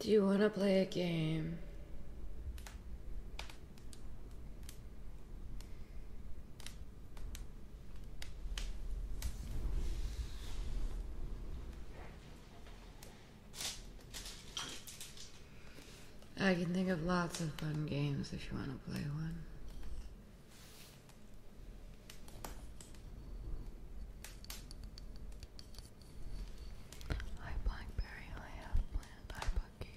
Do you want to play a game? I can think of lots of fun games if you want to play one. Hi Blackberry, I have planned. Hi Bucky.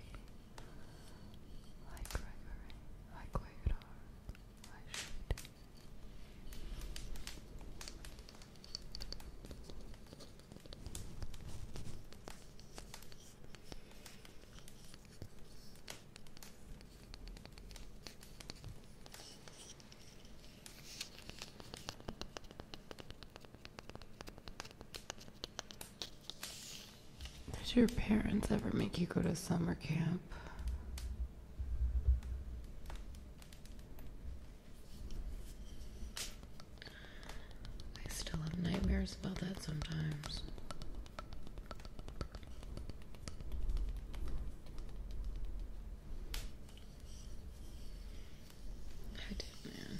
Hi Gregory. Hi Quagadar. Hi Shade. Did your parents ever make you go to summer camp? I still have nightmares about that sometimes. I did, man.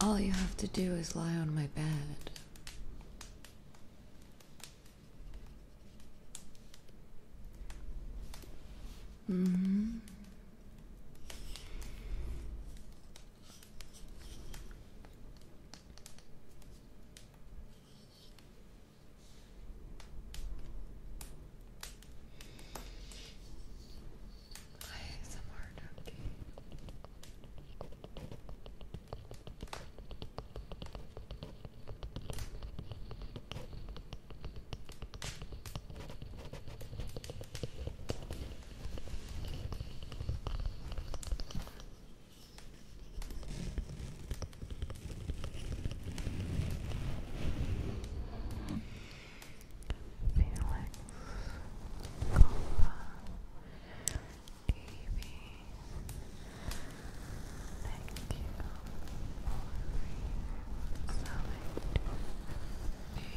All you have to do is lie on my bed. hmm. I have okay. Felix, Cola, Davey, thank you for reselling me. Thank you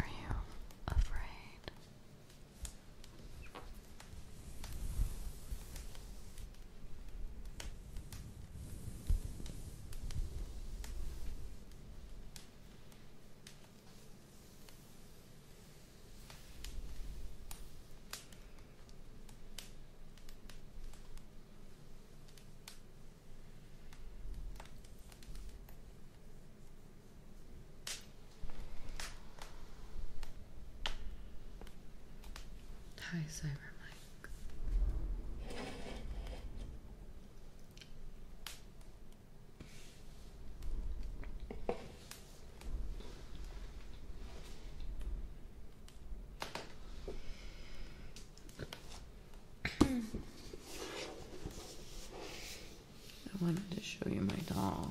Are you afraid? Hi, Cyber Mike. I wanted to show you my doll.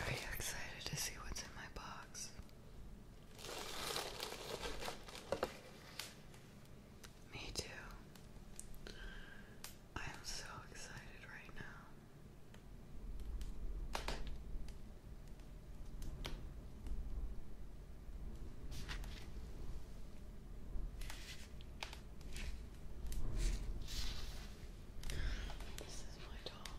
Are you excited to see what's in my box? Me too. I am so excited right now. This is my doll.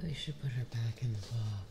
Maybe we should put her back in the box.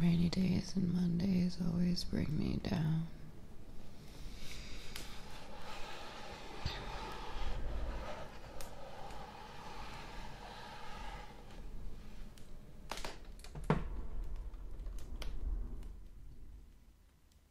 Rainy days and Mondays always bring me down.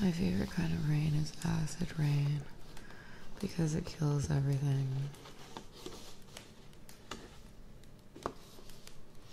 My favorite kind of rain is acid rain because it kills everything.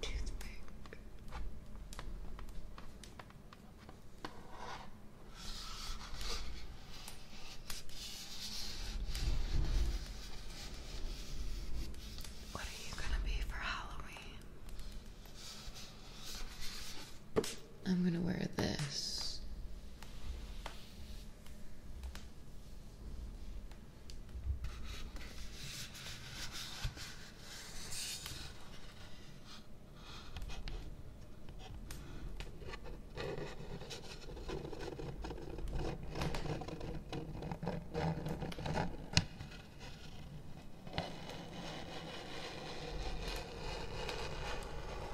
Toothpick. What are you going to be for Halloween? I'm going to wear this.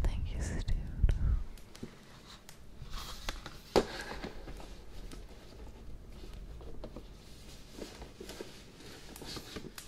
Thank you, Stu.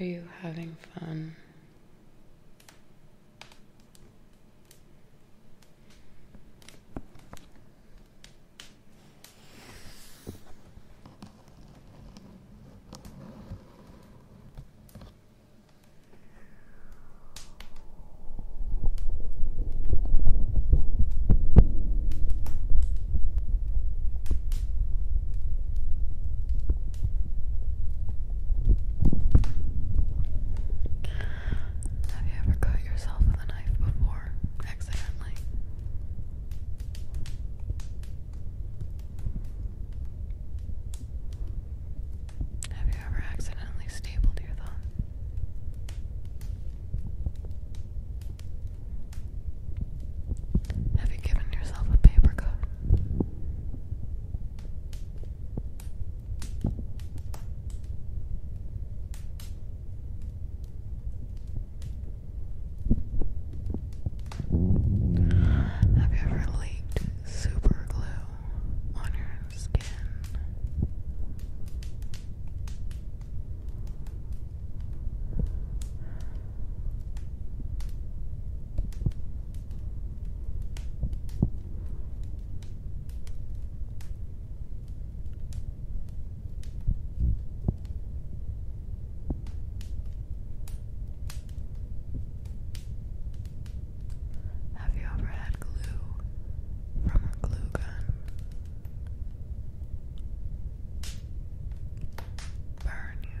Are you having fun? Have you ever cut yourself with a knife before, accidentally? Have you ever accidentally stapled your thumb? Have you given yourself a paper cut? Have you ever leaked super on your skin? Have you ever had glue from a glue gun? Burn you.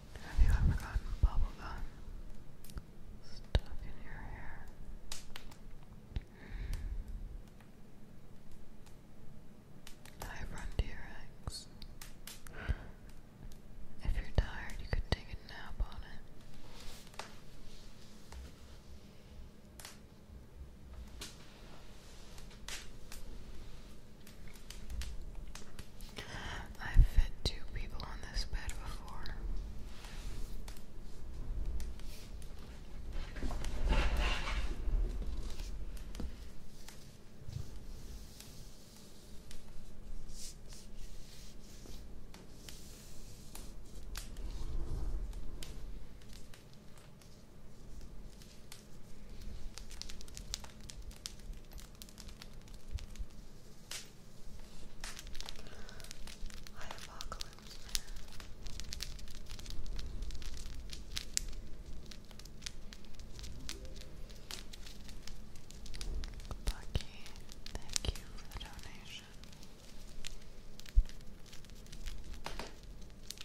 Have you ever gotten bubblegum stuck in your hair? I run to your eggs. If you're tired, you could take a nap on it. I've fed two people on this bed before. Hi, Apocalypse Man. Bucky, thank you for the donation. I appreciate it.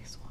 nice one.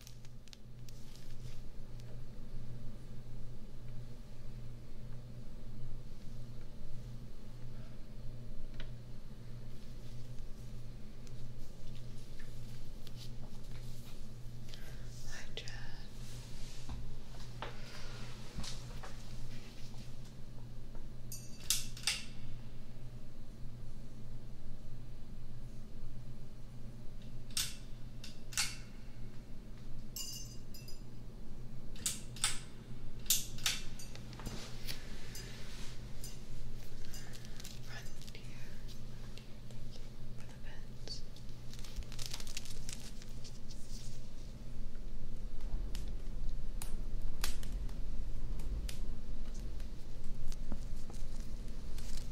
Hi, Jen. Frontier, for the pets. Thank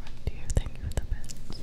Frontier, thank you for the bits.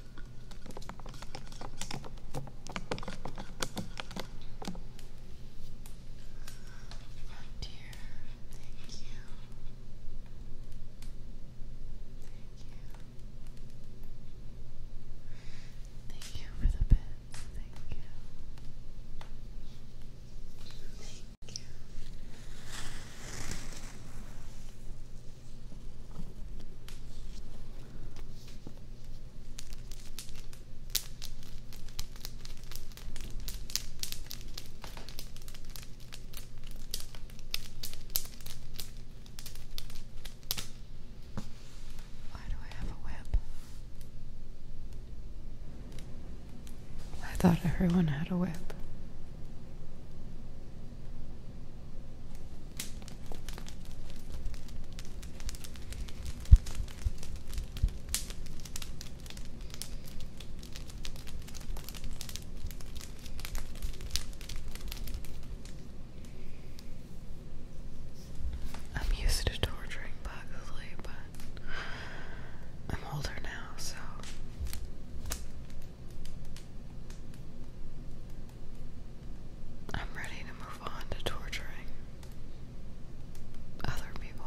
Oh dear, thank you. Thank you. Thank you for the bits. Thank you. Thank you. Why do I have a web? I thought everyone had a whip. I'm used to torturing Bugsley, but I'm older now, so I'm ready to move on to torturing other people.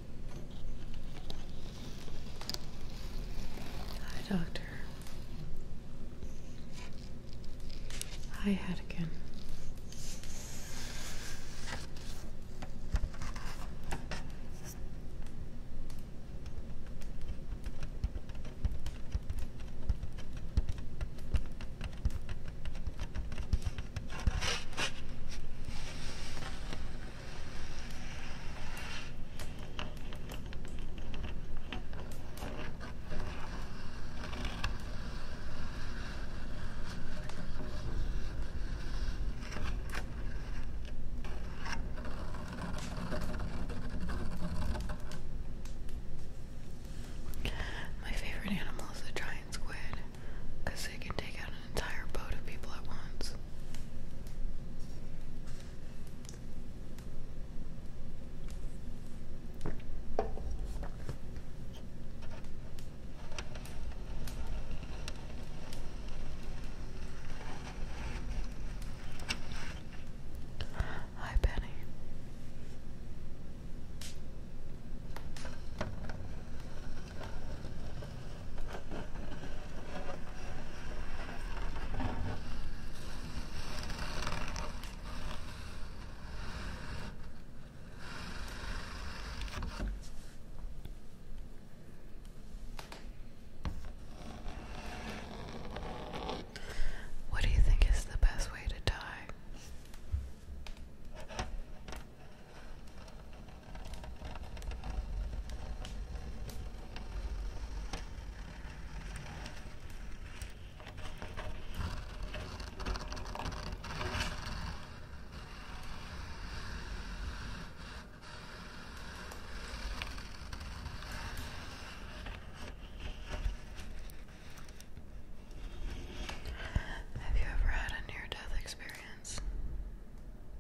Hi, Doctor. Hi, Hedican. My favorite animal is a giant squid because they can take out an entire boat of people at once. Hi, Penny. What do you think is the best way to die? Have you ever had a near death experience?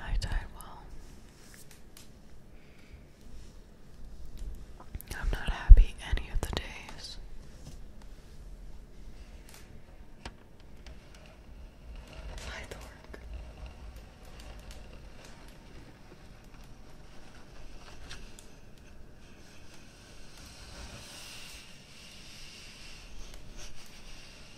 I die well. I'm not happy any of the days. Hi, Thork.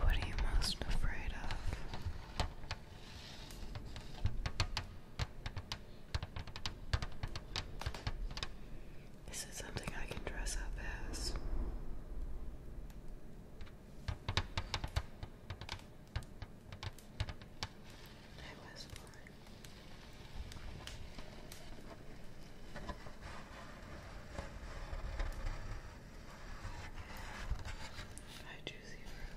What are you most afraid of? Is it something I can dress up as? I was born. Hi, juicy fruit.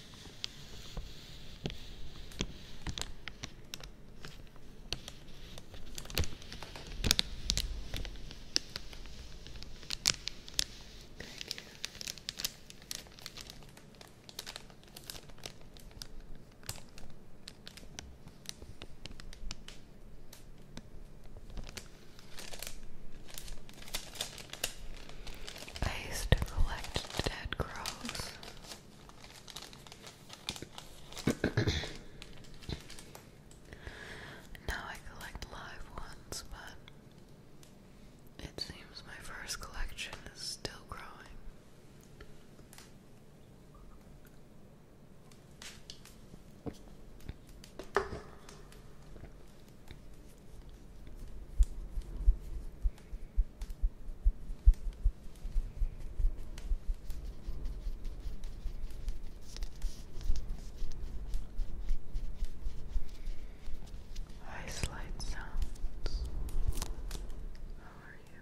I used to collect dead crows. now I collect live ones, but it seems my first collection is still growing. Hi, Sounds. How are you?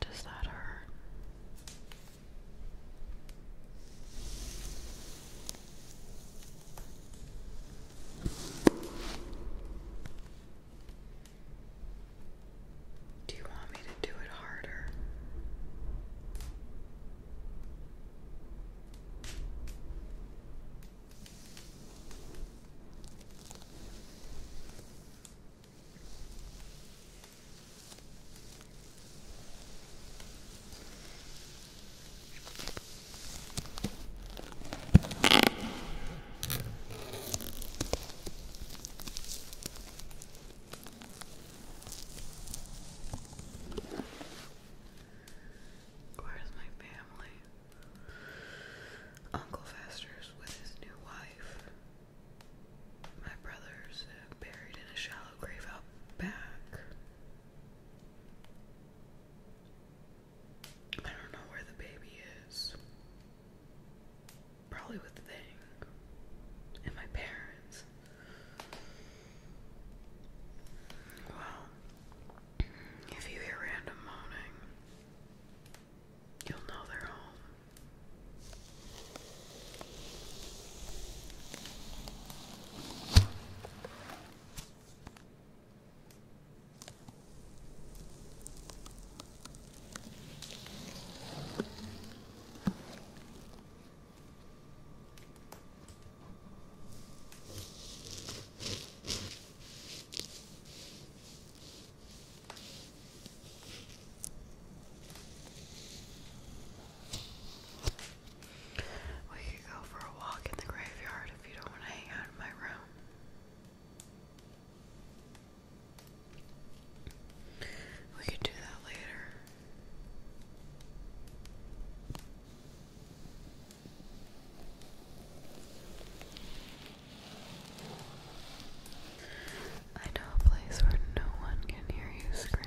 Does that hurt? Do you want me to do it harder? Where's my family? Uncle Fester's with his new wife. My brother's buried in a shallow grave out back. I don't know where the baby is probably with the Thing and my parents. Well, if you hear random moaning, you'll know they're home. We could go for a walk in the graveyard if you don't want to hang out in my room. We could do that later. I know a place where no one can hear you scream.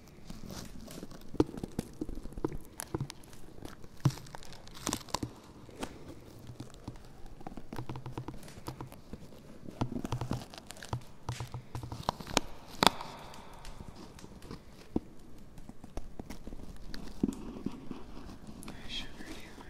Sugar dealer.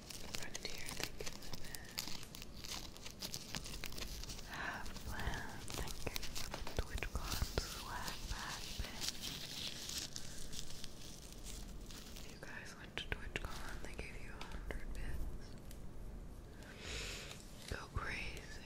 front of here, thank you for that. Half land, you for the TwitchCon swag bag You guys went to TwitchCon, they gave you a hundred bits. Go crazy.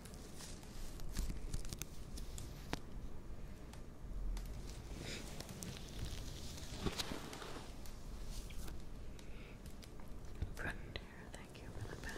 Frontier, thank you for the bath.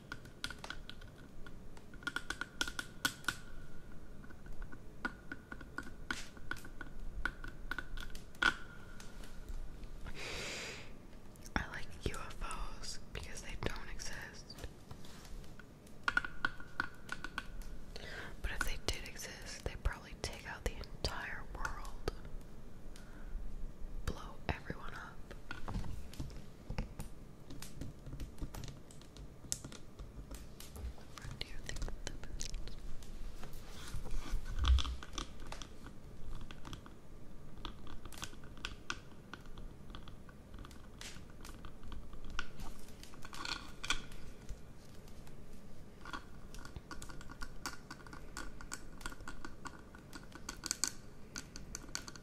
I like UFOs because they don't exist. But if they did exist, they'd probably take out the entire world, blow everyone up. What do you think of the best?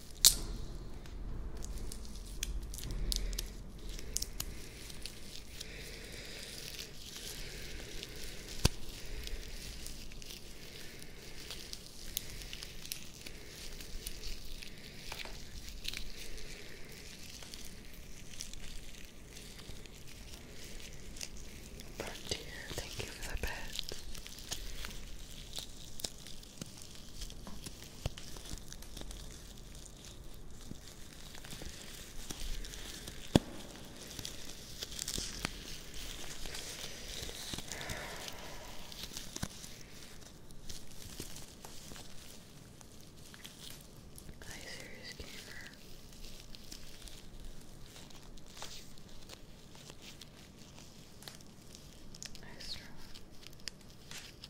Frontier, thank you for the bed. Hi, serious gamer. Extra.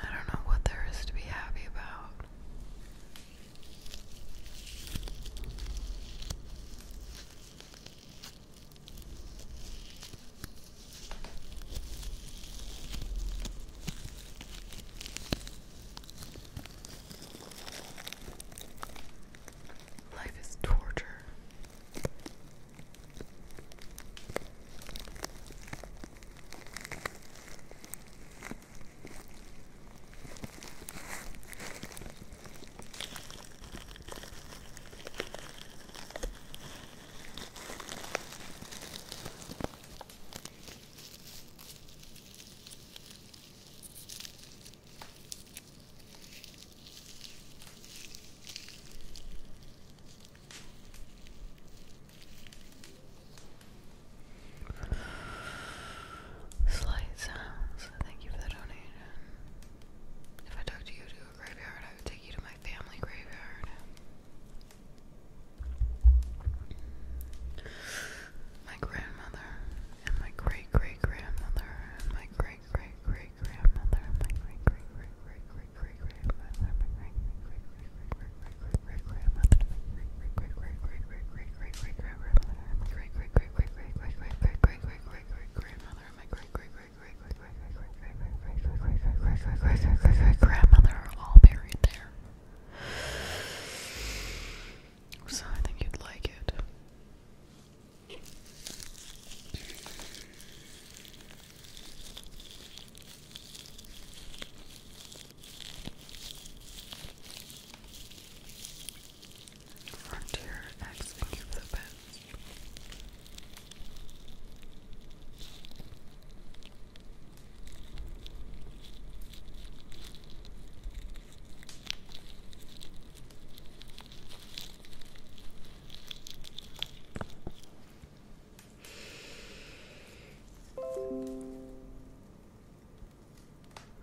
I don't know what there is to be happy about. Life is torture. Slight sounds. Thank you for the donation. If I took you to a graveyard, I would take you to my family graveyard. My grandmother and my great great grandmother and my great great great grandmother and my great great great great great great grandmother my great great great great great great great great great my great great great great great great great great great great great great grandmother my great great great great great great great great great great great great grandmother are all buried there. So I think you'd like it. Frontier X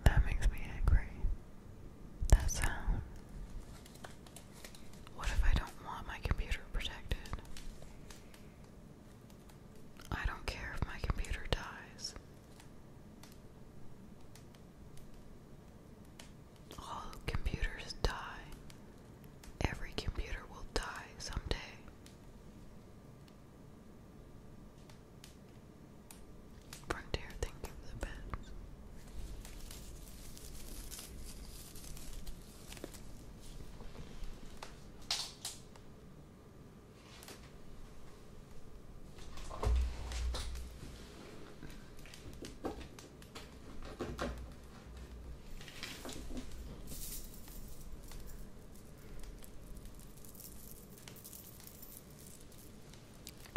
that makes me angry. That sound. What if I don't want my computer protected? I don't care if my computer dies. All computers die. Every computer will die someday. Frontier, thank you for the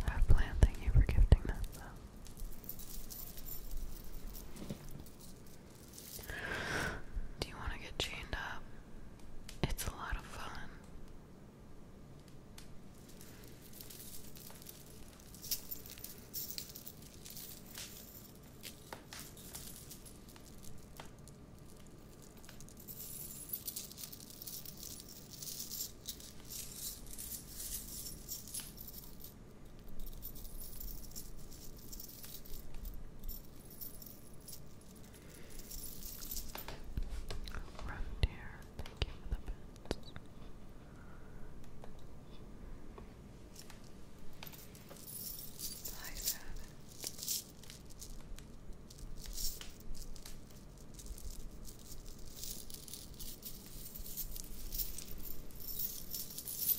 I've thank you for gifting that do you want to get chained up? It's a lot of fun. Frontier, thank you for the bits. Hi, Savage.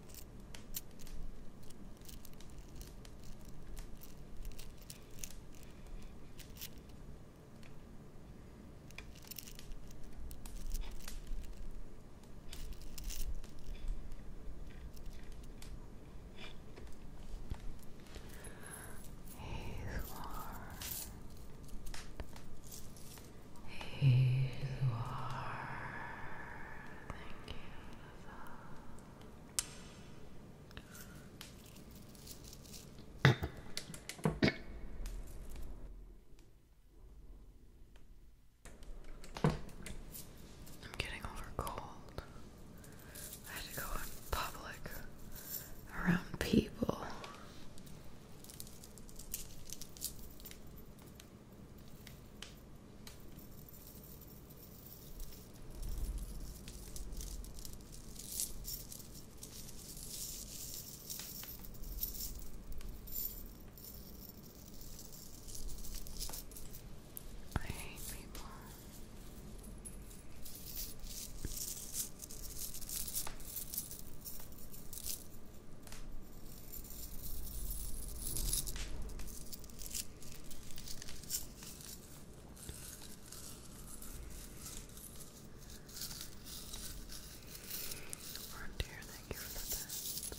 He's warm. Here you are. I'm getting over cold. I had to go in public around people. I hate people. Dear, thank you for the best.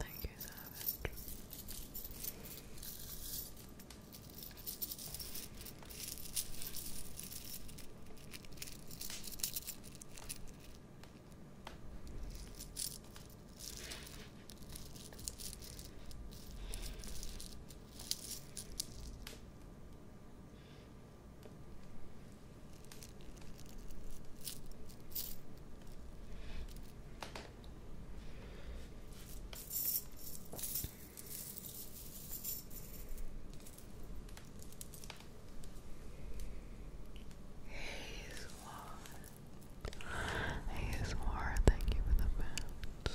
Thank you, Savage. Hey Swar. Hey Swar, thank you for the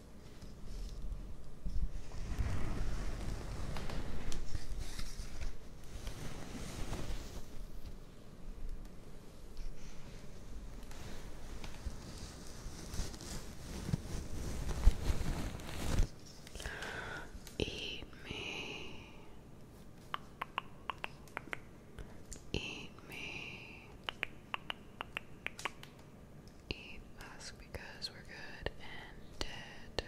Eat me. Eat me. Eat us because we're good and dead.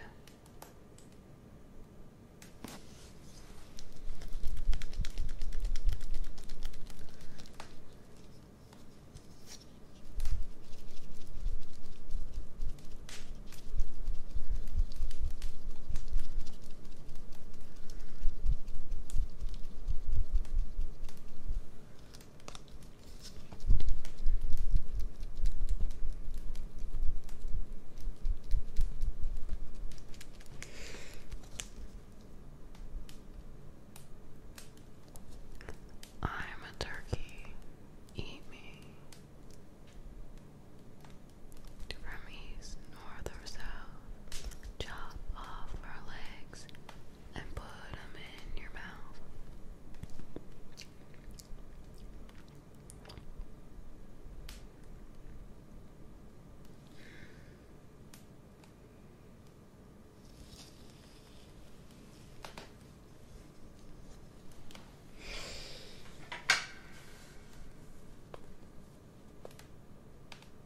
I'm a turkey. Eat me. From east, north, or south, chop off her legs and put them in your mouth.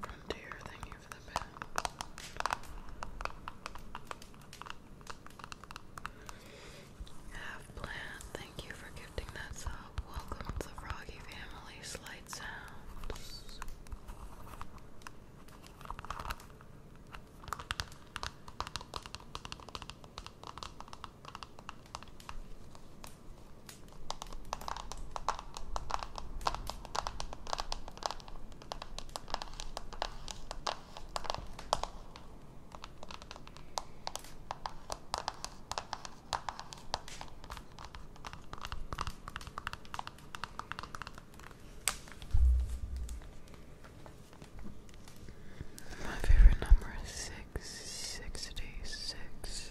frontier thingy for the pen. Half plant, thank you for gifting that Welcome to the Froggy family. Slight sounds. My favorite number is six sixty six.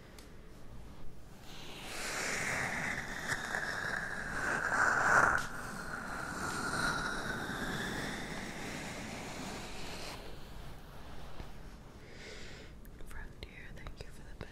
Frontier, thank you for the bed.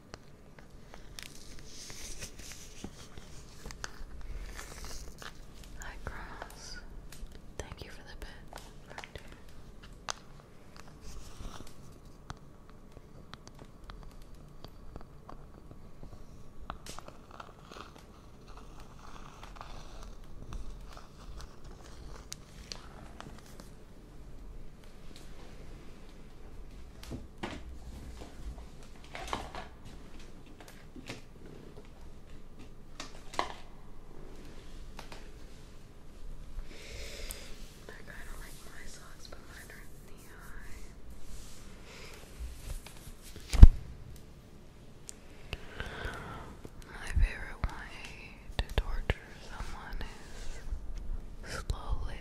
Hi, Cross. Thank you for the bit. They're kind of like my socks, but mine are in My favorite way to torture someone is slowly.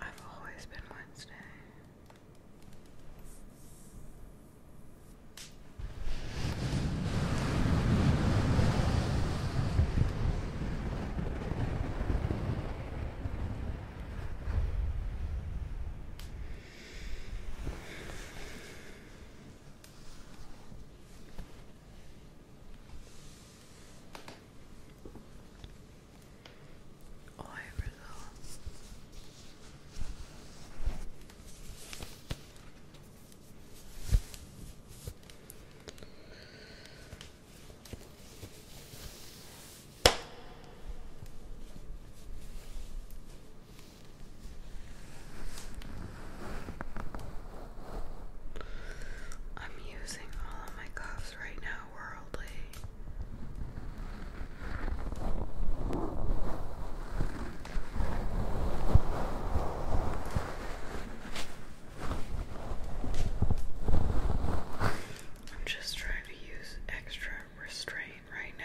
I've always been Wednesday all over I'm using all of my cuffs right now, worldly. I'm just trying to use extra restraint right now.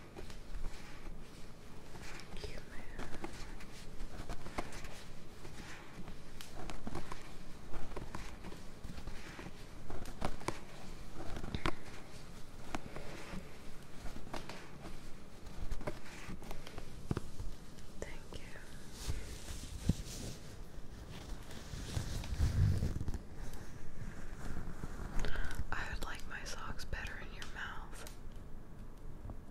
Thank you. I would like my socks better in your mouth.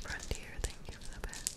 Frontier, thank you for the best.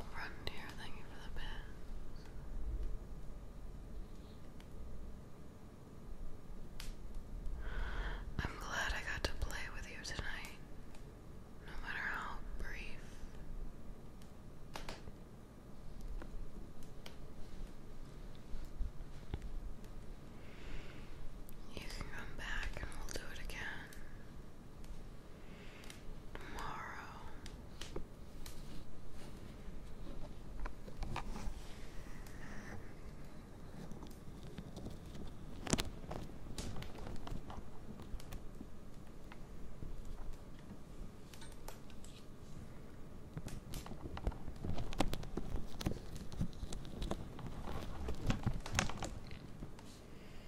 Run thank you for the bit. I'm glad I got to play with you tonight, no matter how brief. You can come back and we'll do it again tomorrow.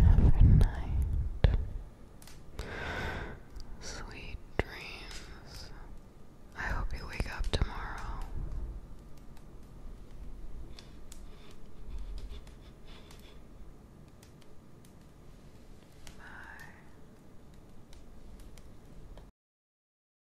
Every night, sweet dreams. I hope you wake up tomorrow. Bye.